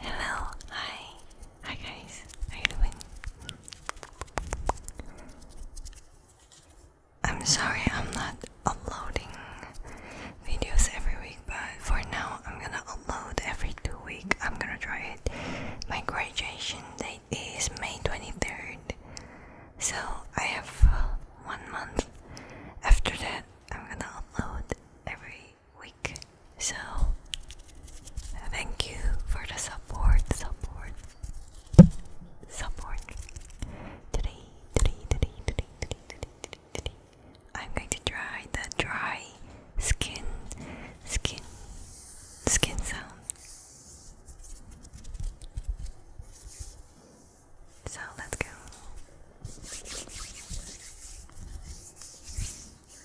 Hello, hi, hi guys, how you doing? I'm sorry I'm not uploading videos every week, but for now I'm gonna upload every two weeks. I'm gonna try it. My graduation date is May 23rd, so I have one month. After that, I'm gonna upload every week. So, thank you for the support, support, support. Today, today, today, today, today, today, today, today. I'm going to try the dry skin, skin, skin sound. So let's go.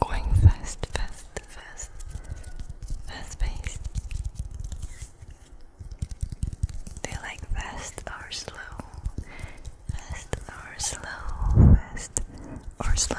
Going fast, fast, fast, fast paced. Do like fast or slow? Fast or slow, fast or slow.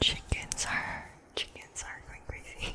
Chickens are chickens are going crazy.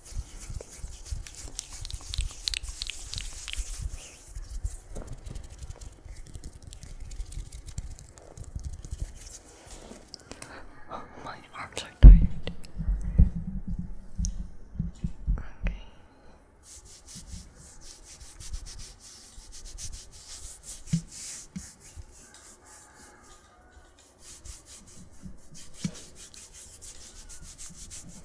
Oh, my arms are tired. Okay.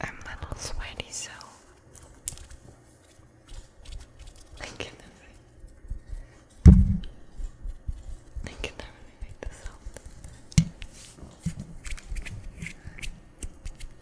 I'm a little sweaty, so I can never, I can never make this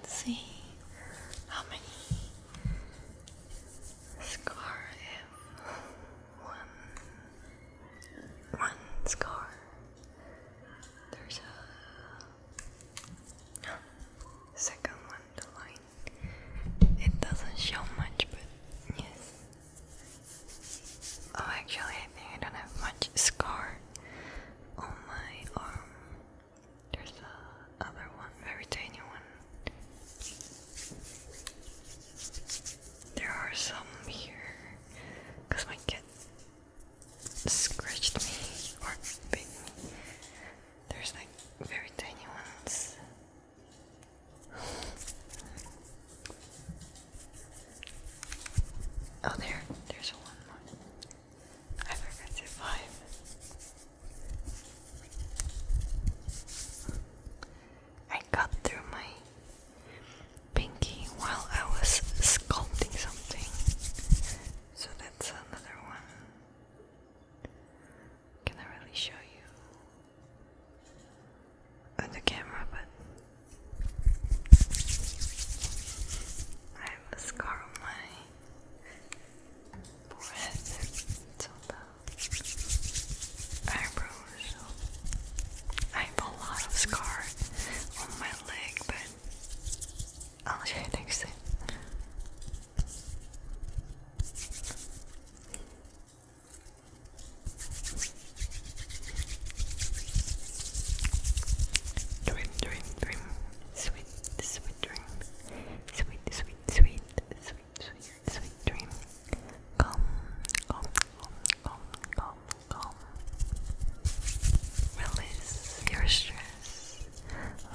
Let's see how many scars I have one, one scar. There's a second one, It doesn't show much, but yes. Oh, actually, I think I don't have much scar on my arm. There's the other one, very tiny one. There are some here because my cat scratched me or bit me. There's like very tiny ones. Oh, there, there's one one. I forgot to five. I cut through my pinky while I was sculpting something. So that's another one. Can I really show you on the camera? But I have a scar on my forehead. It's all bad eyebrows. I have a lot of scar on my leg, but I'll show you next time. Dream, dream, dream, sweet, sweet dream, sweet, sweet, sweet, sweet sweet, sweet dream. Come, come, come, come, come. Release your stress.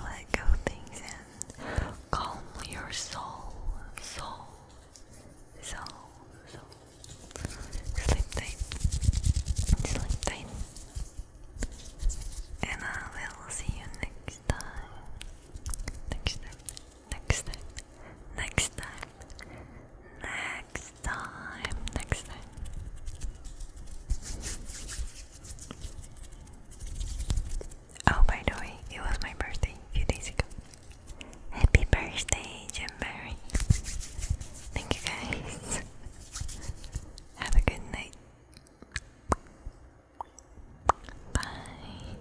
Let go things and calm your soul, soul, soul, soul. Sleep tight, sleep tight. And I will see you next time. Next time next time, next time, next time, next time. Oh, by the way, it was my birthday a few days ago. Happy birthday, Jim Barry. Thank you guys. Have a good night. Bye.